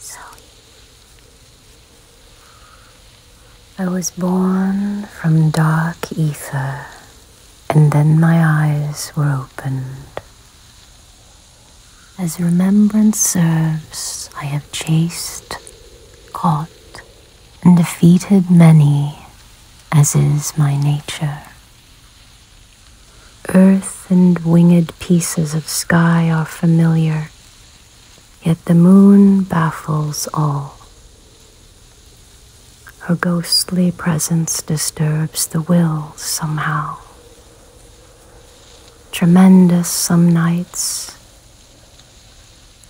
Zoe. I was born from dark ether, and then my eyes were opened. As remembrance serves, I have chased, caught, and defeated many, as is my nature. Earth and winged pieces of sky are familiar, yet the moon baffles all. Her ghostly presence disturbs the will somehow. Tremendous some nights,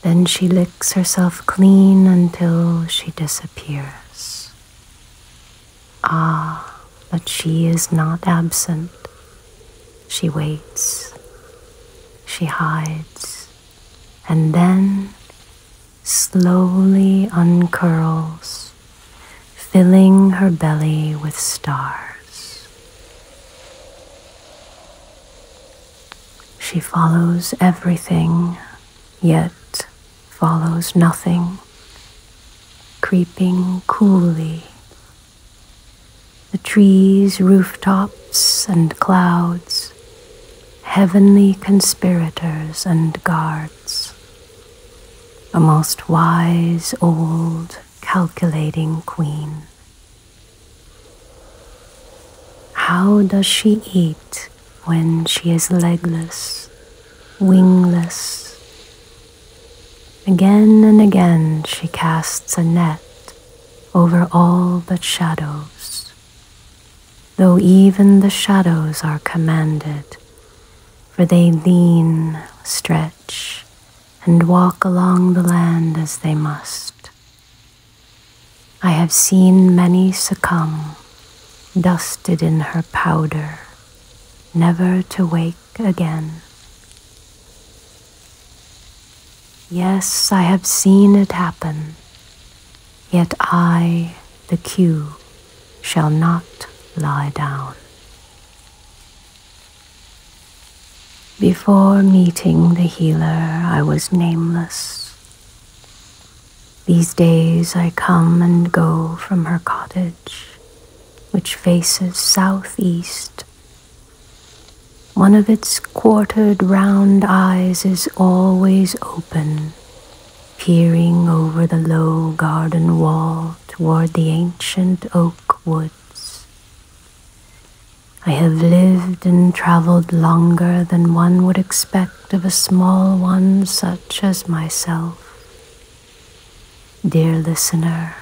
then she licks herself clean until she disappears. Ah, but she is not absent. She waits, she hides, and then slowly uncurls, filling her belly with stars. She follows everything, yet follows nothing, creeping coolly. The trees, rooftops, and clouds, heavenly conspirators and guards, a most wise, old, calculating queen. How does she eat? when she is legless, wingless. Again and again she casts a net over all but shadows, though even the shadows are commanded, for they lean, stretch, and walk along the land as they must. I have seen many succumb, dusted in her powder never to wake again. Yes, I have seen it happen, yet I, the Q, shall not lie down. Before meeting the healer, I was nameless. These days I come and go from her cottage, which faces southeast. One of its quartered round eyes is always open, peering over the low garden wall toward the ancient oak woods. I have lived and traveled longer than one would expect of a small one such as myself. Dear listener,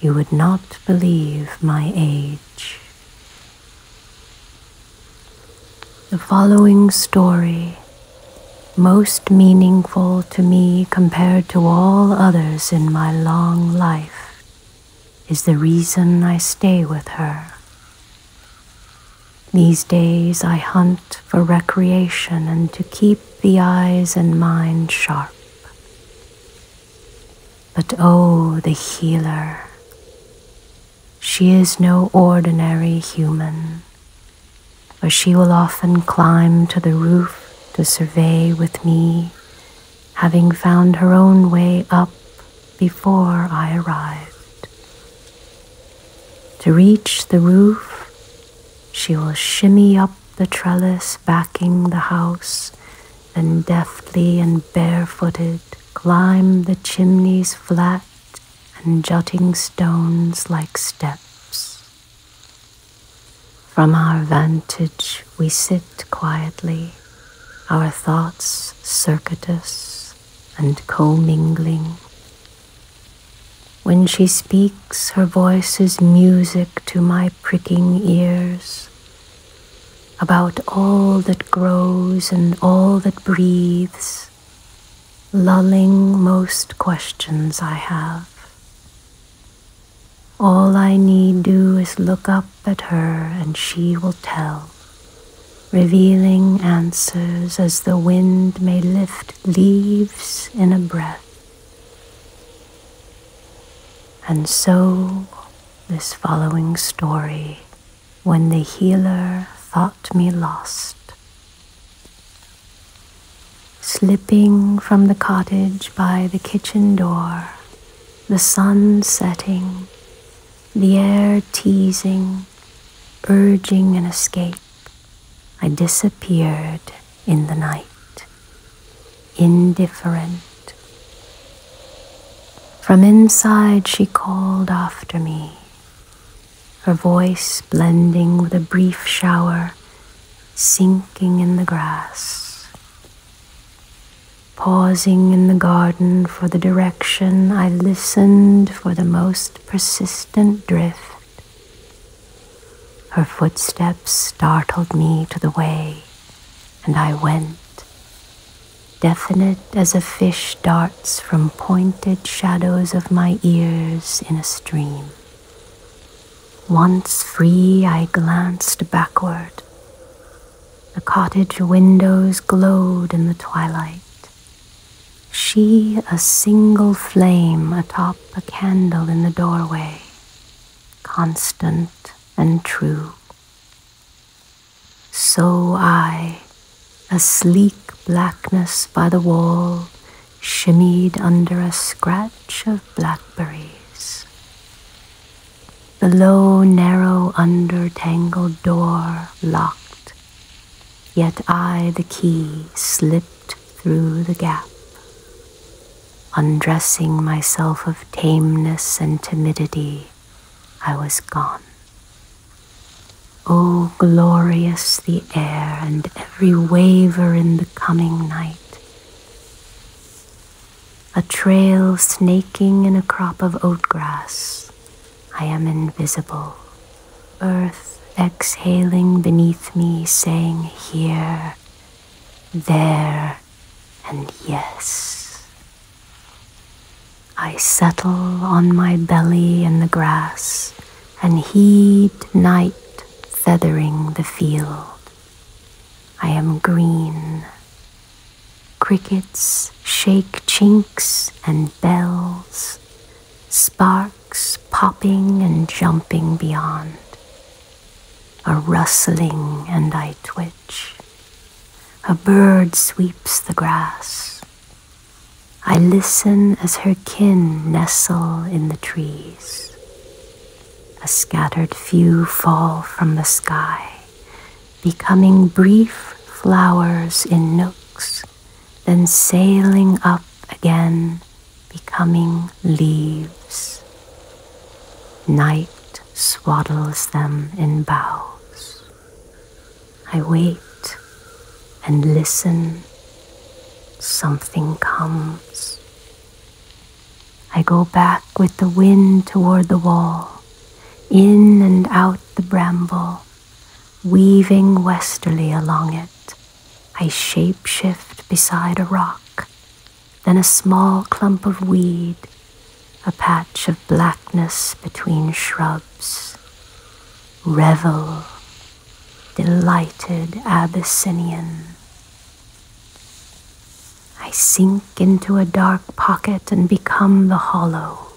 you would not believe my age. The following story, most meaningful to me compared to all others in my long life, is the reason I stay with her. These days I hunt for recreation and to keep the eyes and mind sharp. But oh, the healer, she is no ordinary human, for she will often climb to the roof to survey with me, having found her own way up before I arrived. To reach the roof, she will shimmy up the trellis backing the house, then deftly and barefooted climb the chimney's flat and jutting stones like steps. From our vantage, we sit quietly, our thoughts circuitous and commingling, when she speaks, her voice is music to my pricking ears about all that grows and all that breathes, lulling most questions I have. All I need do is look up at her and she will tell, revealing answers as the wind may lift leaves in a breath. And so, this following story, when the healer thought me lost. Slipping from the cottage by the kitchen door, the sun setting, the air teasing, urging an escape, I disappeared in the night, indifferent. From inside she called after me, her voice blending with a brief shower sinking in the grass. Pausing in the garden for the direction, I listened for the most persistent drift her footsteps startled me to the way, and I went, definite as a fish darts from pointed shadows of my ears in a stream. Once free, I glanced backward. The cottage windows glowed in the twilight, she a single flame atop a candle in the doorway, constant and true. So I, a sleek blackness by the wall, shimmied under a scratch of blackberries. The low, narrow, under-tangled door locked Yet I, the key, slipped through the gap, undressing myself of tameness and timidity. I was gone. Oh, glorious the air and every waver in the coming night. A trail snaking in a crop of oat grass, I am invisible, earth exhaling beneath me, saying here, there, and yes. I settle on my belly in the grass and heed night feathering the field. I am green. Crickets shake chinks and bells, sparks popping and jumping beyond, a rustling and I twitch. A bird sweeps the grass. I listen as her kin nestle in the trees. A scattered few fall from the sky, becoming brief flowers in nooks then sailing up again, becoming leaves. Night swaddles them in boughs. I wait and listen. Something comes. I go back with the wind toward the wall, in and out the bramble Weaving westerly along it, I shapeshift beside a rock, then a small clump of weed, a patch of blackness between shrubs. Revel, delighted Abyssinian. I sink into a dark pocket and become the hollow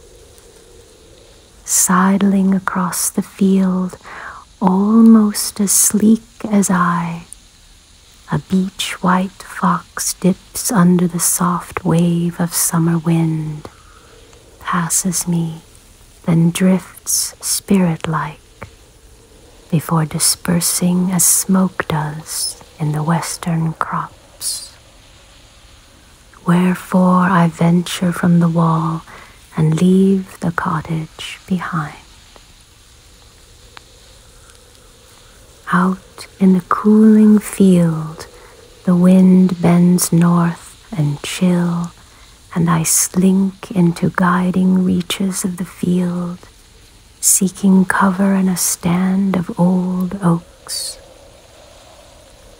sidling across the field, almost as sleek as I. A beach white fox dips under the soft wave of summer wind, passes me, then drifts spirit like before dispersing as smoke does in the western crops. Wherefore I venture from the wall and leave the cottage behind. Out in the cooling field, the wind bends north and chill, and I slink into guiding reaches of the field, seeking cover in a stand of old oaks.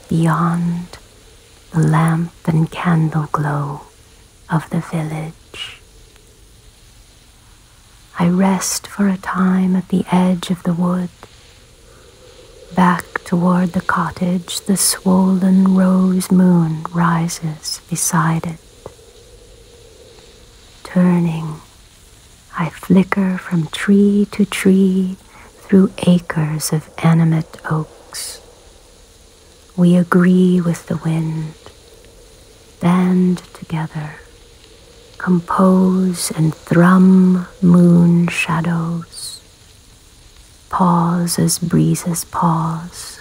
Beyond, the lamp and candle glow of the village. I rest for a time at the edge of the wood. Back toward the cottage, the swollen rose moon rises beside it. Turning, I flicker from tree to tree through acres of animate oaks. We agree with the wind, band together, compose and thrum moon shadows, pause as breezes pause,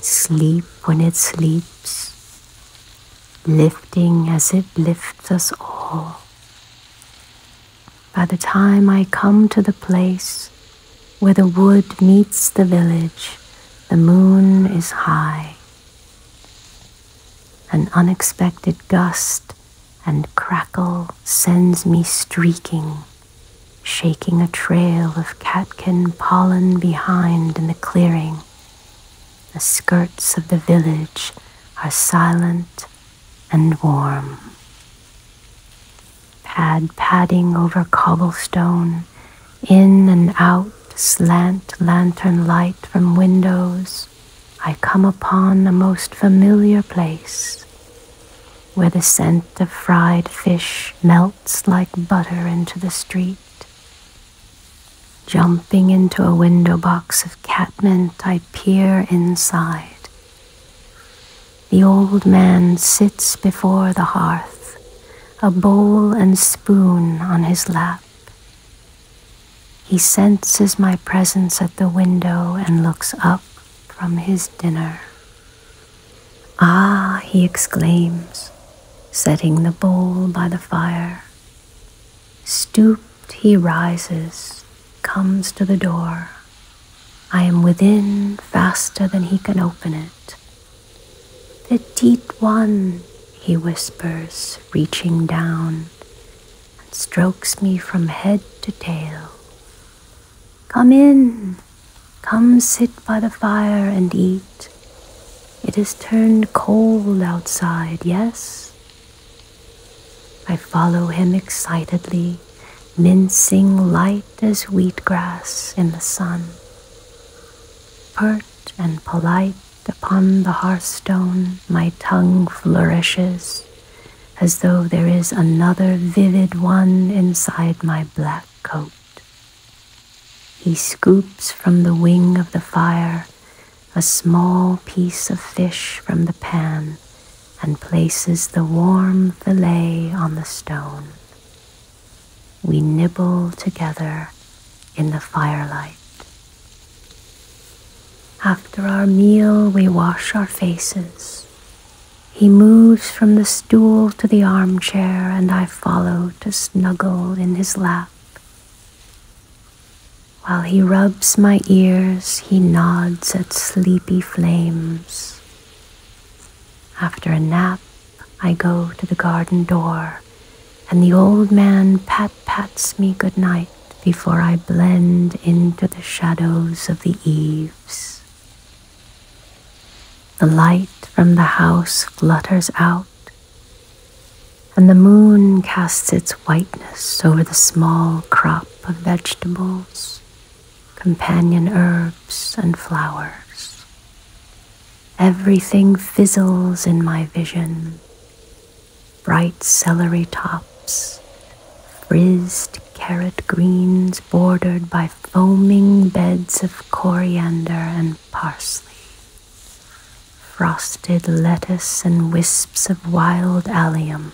sleep when it sleeps, lifting as it lifts us all by the time I come to the place where the wood meets the village, the moon is high. An unexpected gust and crackle sends me streaking, shaking a trail of catkin pollen behind in the clearing. The skirts of the village are silent and warm. Pad padding over cobblestone, in and out slant lantern light from windows, I come upon a most familiar place where the scent of fried fish melts like butter into the street. Jumping into a window box of catmint, I peer inside the old man sits before the hearth, a bowl and spoon on his lap. He senses my presence at the window and looks up from his dinner. Ah, he exclaims, setting the bowl by the fire. Stooped, he rises comes to the door. I am within faster than he can open it. The deep one, he whispers, reaching down and strokes me from head to tail. Come in, come sit by the fire and eat. It has turned cold outside, yes? I follow him excitedly, mincing light as wheatgrass in the sun. Pert and polite upon the hearthstone, my tongue flourishes as though there is another vivid one inside my black coat. He scoops from the wing of the fire a small piece of fish from the pan and places the warm fillet on the stone. We nibble together in the firelight. After our meal, we wash our faces. He moves from the stool to the armchair, and I follow to snuggle in his lap. While he rubs my ears he nods at sleepy flames. After a nap, I go to the garden door, and the old man pat pats me good night before I blend into the shadows of the eaves. The light from the house flutters out, and the moon casts its whiteness over the small crop of vegetables companion herbs and flowers. Everything fizzles in my vision. Bright celery tops, frizzed carrot greens bordered by foaming beds of coriander and parsley. Frosted lettuce and wisps of wild allium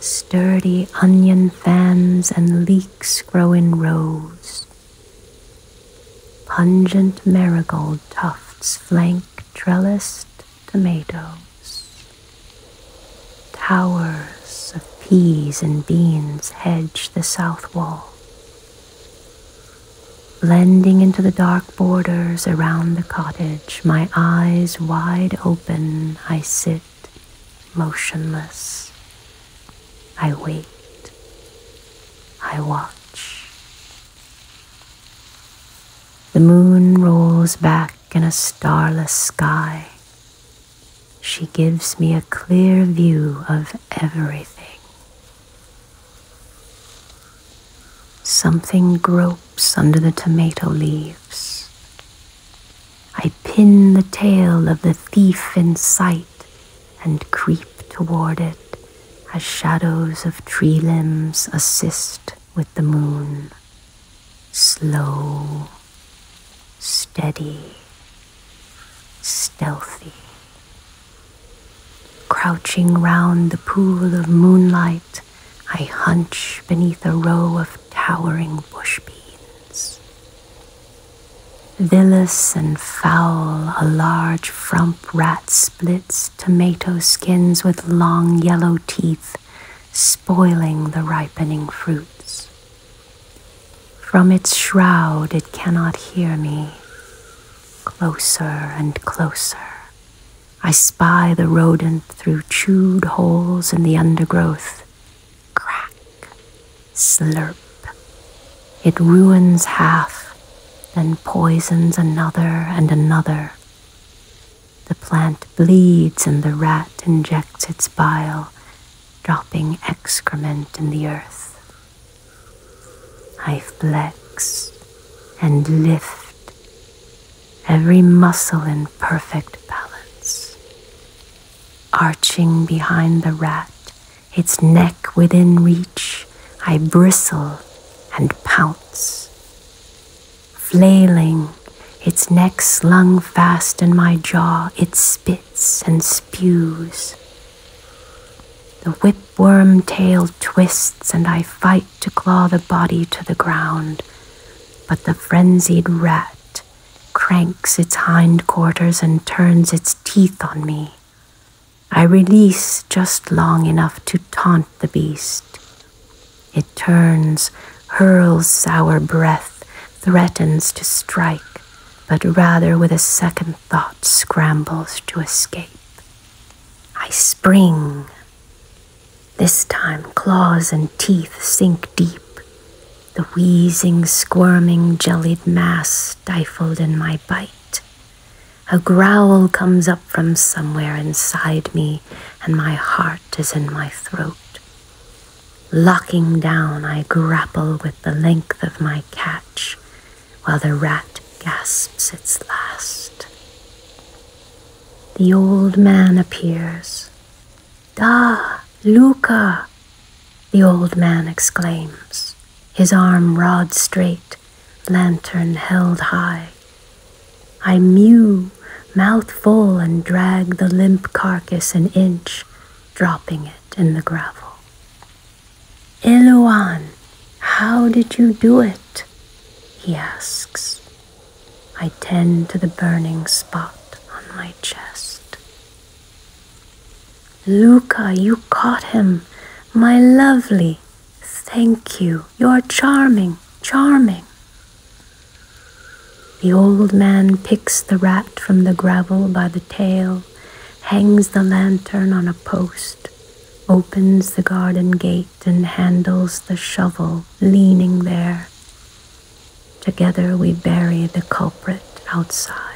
Sturdy onion fans and leeks grow in rows. Pungent marigold tufts flank trellised tomatoes. Towers of peas and beans hedge the south wall, blending into the dark borders around the cottage, my eyes wide open and I sit motionless. I wait. I watch. The moon rolls back in a starless sky. She gives me a clear view of everything. Something gropes under the tomato leaves. I pin the tail of the thief in sight and creep toward it as shadows of tree limbs assist with the moon. Slow, steady, stealthy. Crouching round the pool of moonlight, I hunch beneath a row of towering bush beans. Villous and foul, a large frump rat splits tomato skins with long yellow teeth, spoiling the ripening fruits. From its shroud, it cannot hear me. Closer and closer, I spy the rodent through chewed holes in the undergrowth. Crack, slurp. It ruins half, then poisons another and another. The plant bleeds and the rat injects its bile, dropping excrement in the earth. I flex and lift every muscle in perfect balance. Arching behind the rat, its neck within reach, I bristle and pounce. Flailing, its neck slung fast in my jaw, it spits and spews. The whipworm tail twists, and I fight to claw the body to the ground but the frenzied rat cranks its hindquarters and turns its teeth on me. I release just long enough to taunt the beast. It turns, hurls sour breath, threatens to strike, but rather with a second thought scrambles to escape. I spring, this time, claws and teeth sink deep, the wheezing, squirming, jellied mass stifled in my bite. A growl comes up from somewhere inside me, and my heart is in my throat. Locking down, I grapple with the length of my catch while the rat gasps its last. The old man appears, Da, Luca, the old man exclaims, his arm rods straight, lantern held high. I mew, mouth full, and drag the limp carcass an inch, dropping it in the gravel. Iluan, how did you do it? He asks. I tend to the burning spot on my chest. Luca, you caught him! My lovely! Thank you! You're charming, charming! The old man picks the rat from the gravel by the tail, hangs the lantern on a post, opens the garden gate, and handles the shovel leaning there Together we bury the culprit outside.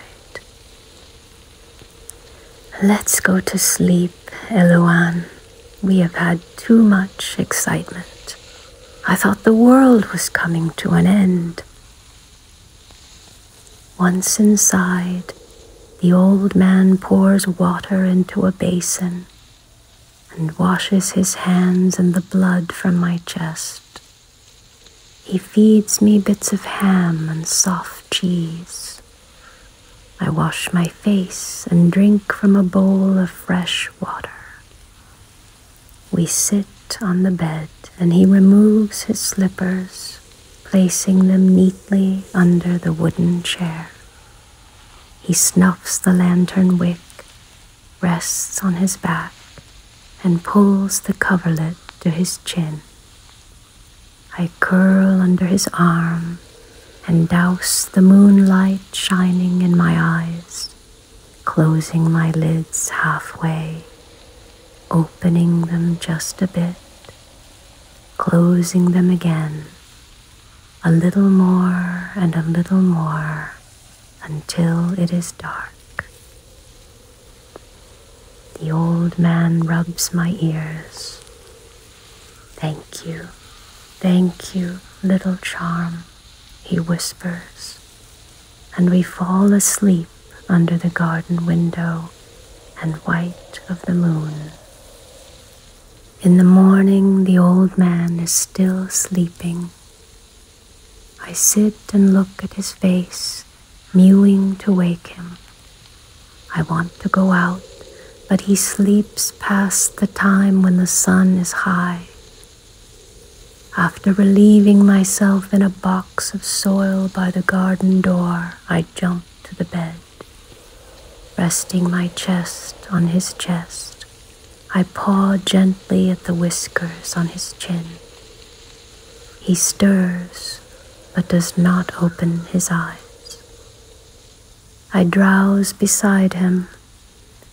Let's go to sleep, Eloan. We have had too much excitement. I thought the world was coming to an end. Once inside, the old man pours water into a basin and washes his hands and the blood from my chest. He feeds me bits of ham and soft cheese. I wash my face and drink from a bowl of fresh water. We sit on the bed and he removes his slippers, placing them neatly under the wooden chair. He snuffs the lantern wick rests on his back and pulls the coverlet to his chin. I curl under his arm and douse the moonlight shining in my eyes, closing my lids halfway, opening them just a bit, closing them again, a little more and a little more until it is dark. The old man rubs my ears. Thank you, thank you, little charm, he whispers, and we fall asleep under the garden window and white of the moon. In the morning, the old man is still sleeping. I sit and look at his face, mewing to wake him. I want to go out, but he sleeps past the time when the sun is high. After relieving myself in a box of soil by the garden door, I jump to the bed, resting my chest on his chest, I paw gently at the whiskers on his chin. He stirs, but does not open his eyes. I drowse beside him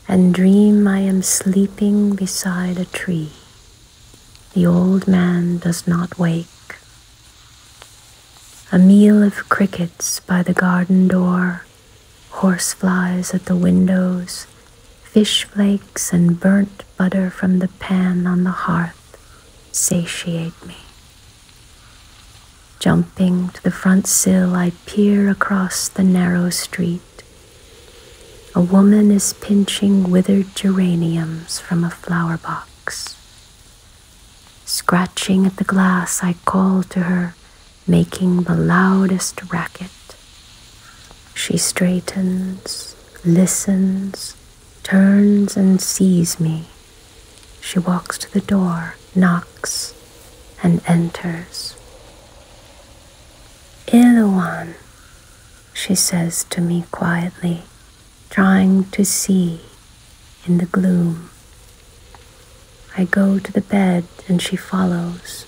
and dream I am sleeping beside a tree. The old man does not wake. A meal of crickets by the garden door Horseflies at the windows, fish flakes and burnt butter from the pan on the hearth satiate me. Jumping to the front sill, I peer across the narrow street. A woman is pinching withered geraniums from a flower box. Scratching at the glass, I call to her making the loudest racket. She straightens, listens, turns and sees me. She walks to the door, knocks, and enters. Iluan, she says to me quietly, trying to see in the gloom. I go to the bed and she follows,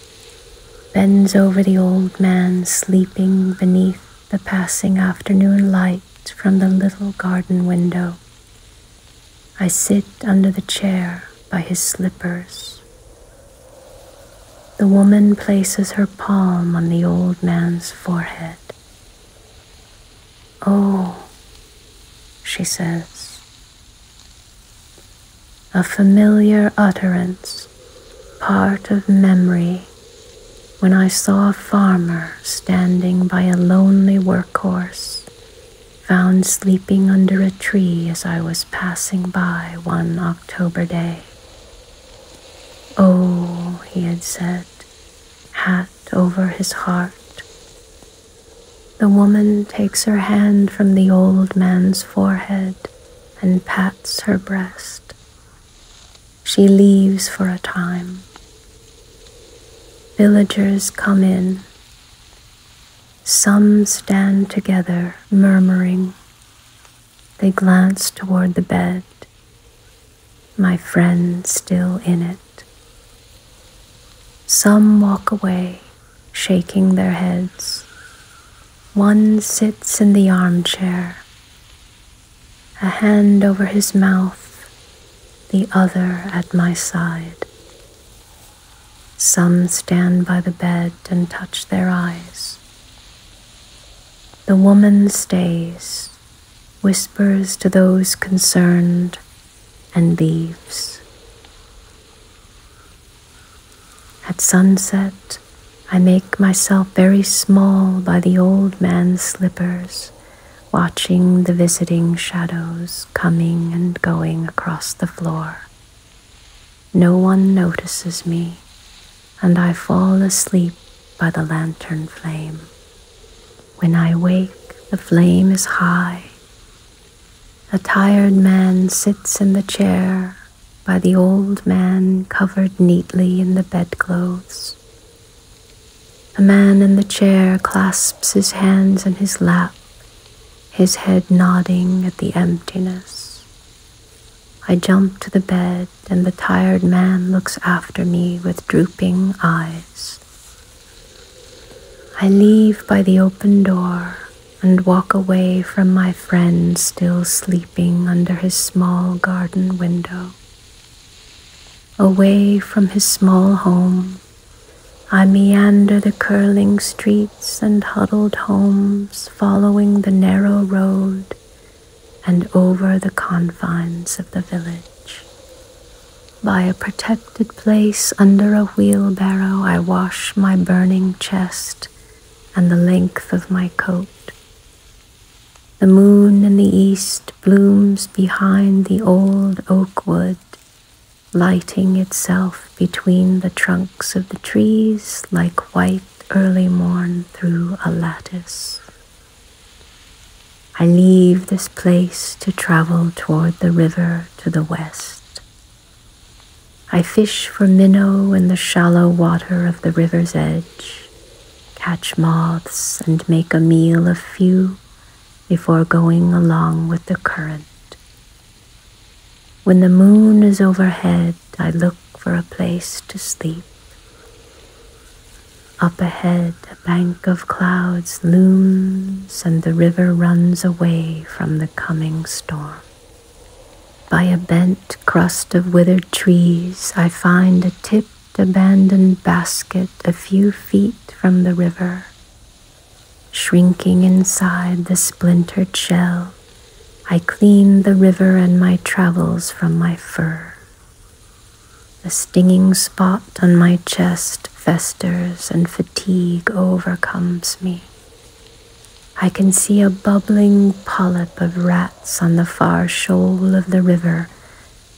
bends over the old man sleeping beneath the passing afternoon light from the little garden window. I sit under the chair by his slippers. The woman places her palm on the old man's forehead. Oh, she says, a familiar utterance, part of memory, when I saw a farmer standing by a lonely workhorse, found sleeping under a tree as I was passing by one October day. Oh, he had said, hat over his heart, the woman takes her hand from the old man's forehead and pats her breast. She leaves for a time. Villagers come in. Some stand together, murmuring. They glance toward the bed, my friend still in it. Some walk away, shaking their heads. One sits in the armchair, a hand over his mouth, the other at my side. Some stand by the bed and touch their eyes. The woman stays, whispers to those concerned and leaves. At sunset, I make myself very small by the old man's slippers, watching the visiting shadows coming and going across the floor. No one notices me, and I fall asleep by the lantern flame. When I wake, the flame is high a tired man sits in the chair by the old man covered neatly in the bedclothes. The man in the chair clasps his hands in his lap, his head nodding at the emptiness. I jump to the bed, and the tired man looks after me with drooping eyes. I leave by the open door and walk away from my friend still sleeping under his small garden window. Away from his small home, I meander the curling streets and huddled homes, following the narrow road and over the confines of the village. By a protected place under a wheelbarrow, I wash my burning chest and the length of my coat. The moon in the east blooms behind the old oak wood, lighting itself between the trunks of the trees like white early morn through a lattice. I leave this place to travel toward the river to the west. I fish for minnow in the shallow water of the river's edge, catch moths, and make a meal of few before going along with the current. When the moon is overhead, I look for a place to sleep. Up ahead, a bank of clouds looms, and the river runs away from the coming storm. By a bent crust of withered trees, I find a tipped, abandoned basket a few feet from the river. Shrinking inside the splintered shell, I clean the river and my travels from my fur. The stinging spot on my chest festers and fatigue overcomes me. I can see a bubbling polyp of rats on the far shoal of the river,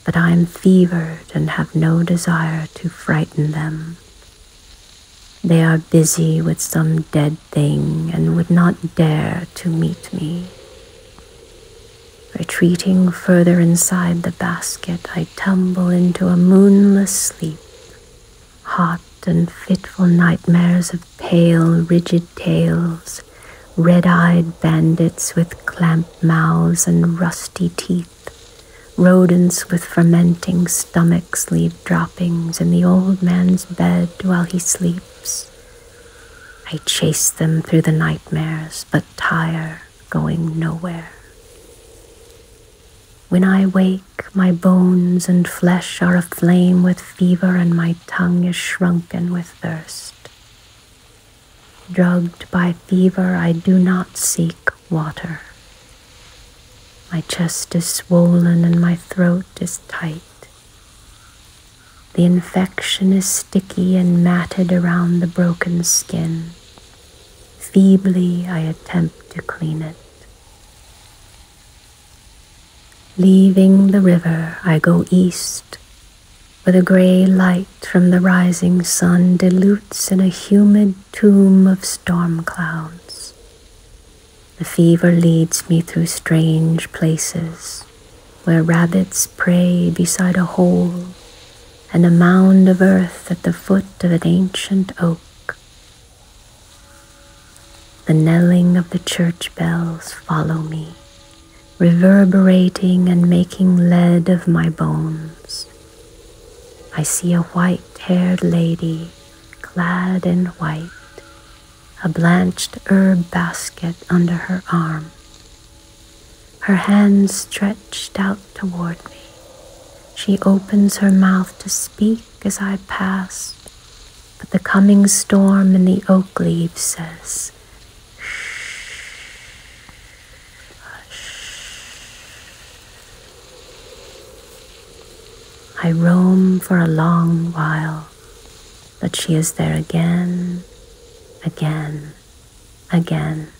but I am fevered and have no desire to frighten them. They are busy with some dead thing and would not dare to meet me. Retreating further inside the basket, I tumble into a moonless sleep hot and fitful nightmares of pale, rigid tails, red eyed bandits with clamped mouths and rusty teeth, rodents with fermenting stomachs leave droppings in the old man's bed while he sleeps. I chase them through the nightmares, but tire going nowhere. When I wake, my bones and flesh are aflame with fever, and my tongue is shrunken with thirst. Drugged by fever, I do not seek water. My chest is swollen and my throat is tight. The infection is sticky and matted around the broken skin, Feebly, I attempt to clean it. Leaving the river, I go east, where the gray light from the rising sun dilutes in a humid tomb of storm clouds. The fever leads me through strange places, where rabbits pray beside a hole and a mound of earth at the foot of an ancient oak. The knelling of the church bells follow me, reverberating and making lead of my bones. I see a white haired lady clad in white, a blanched herb basket under her arm, her hands stretched out toward me, she opens her mouth to speak as I pass, but the coming storm in the oak leaves says, I roam for a long while, but she is there again, again, again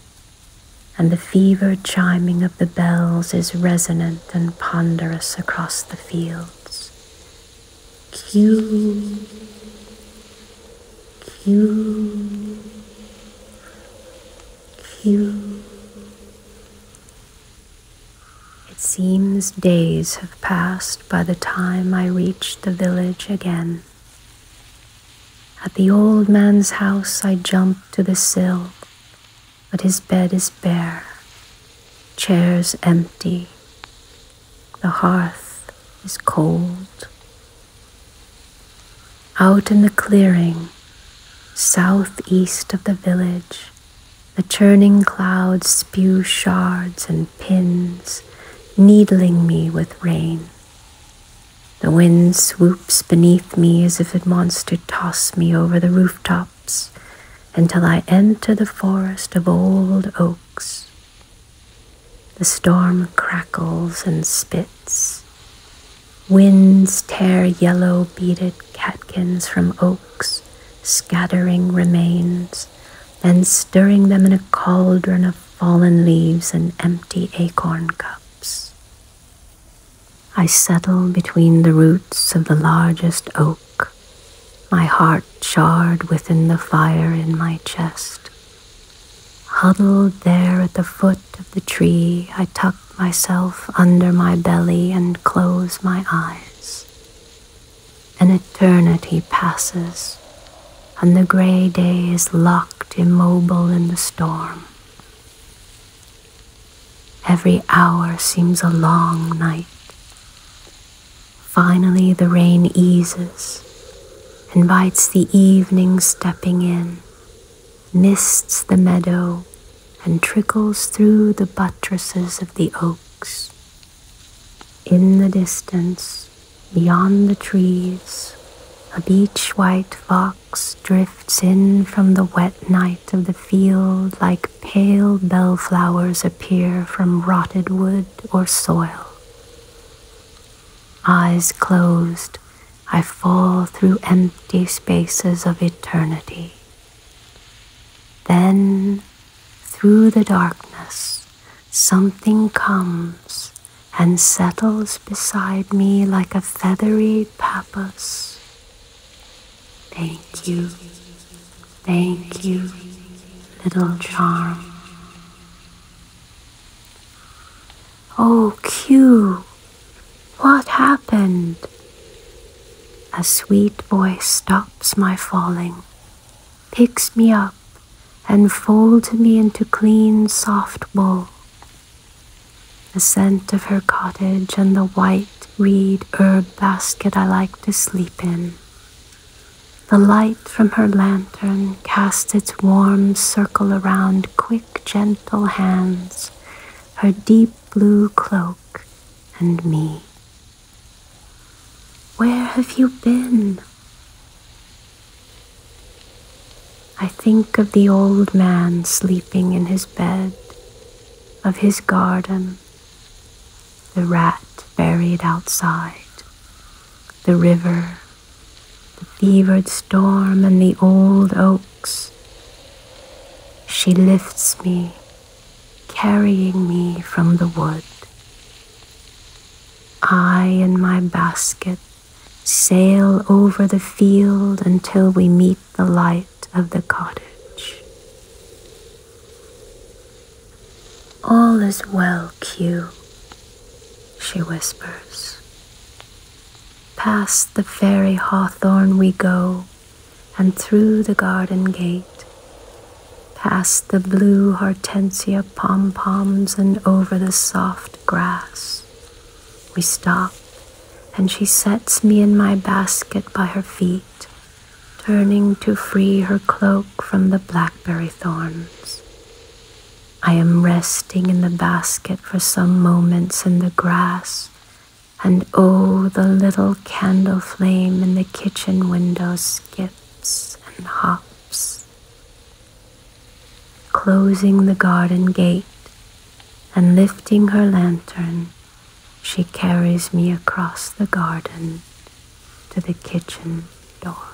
and the fevered chiming of the bells is resonant and ponderous across the fields. Q, Q, Q. It seems days have passed by the time I reach the village again. At the old man's house, I jump to the sill but his bed is bare, chairs empty, the hearth is cold. Out in the clearing, southeast of the village, the churning clouds spew shards and pins, needling me with rain. The wind swoops beneath me as if it wants to toss me over the rooftops until I enter the forest of old oaks. The storm crackles and spits. Winds tear yellow beaded catkins from oaks, scattering remains, then stirring them in a cauldron of fallen leaves and empty acorn cups. I settle between the roots of the largest oak, my heart charred within the fire in my chest. Huddled there at the foot of the tree, I tuck myself under my belly and close my eyes. An eternity passes, and the gray day is locked immobile in the storm. Every hour seems a long night. Finally, the rain eases, invites the evening stepping in, mists the meadow, and trickles through the buttresses of the oaks. In the distance, beyond the trees, a beach white fog drifts in from the wet night of the field like pale bellflowers appear from rotted wood or soil. Eyes closed, I fall through empty spaces of eternity. Then, through the darkness, something comes and settles beside me like a feathery purpose. Thank you, thank you, little charm. Oh, Q, what happened? A sweet voice stops my falling, picks me up, and folds me into clean, soft wool. The scent of her cottage and the white reed herb basket I like to sleep in. The light from her lantern casts its warm circle around quick, gentle hands, her deep blue cloak, and me. Where have you been? I think of the old man sleeping in his bed, of his garden, the rat buried outside, the river, the fevered storm, and the old oaks. She lifts me, carrying me from the wood. I in my basket sail over the field until we meet the light of the cottage. All is well, Q, she whispers. Past the fairy hawthorn we go, and through the garden gate, past the blue hortensia pom poms, and over the soft grass we stop, and she sets me in my basket by her feet, turning to free her cloak from the blackberry thorns. I am resting in the basket for some moments in the grass, and oh, the little candle flame in the kitchen window skips and hops. Closing the garden gate, and lifting her lantern, she carries me across the garden to the kitchen door.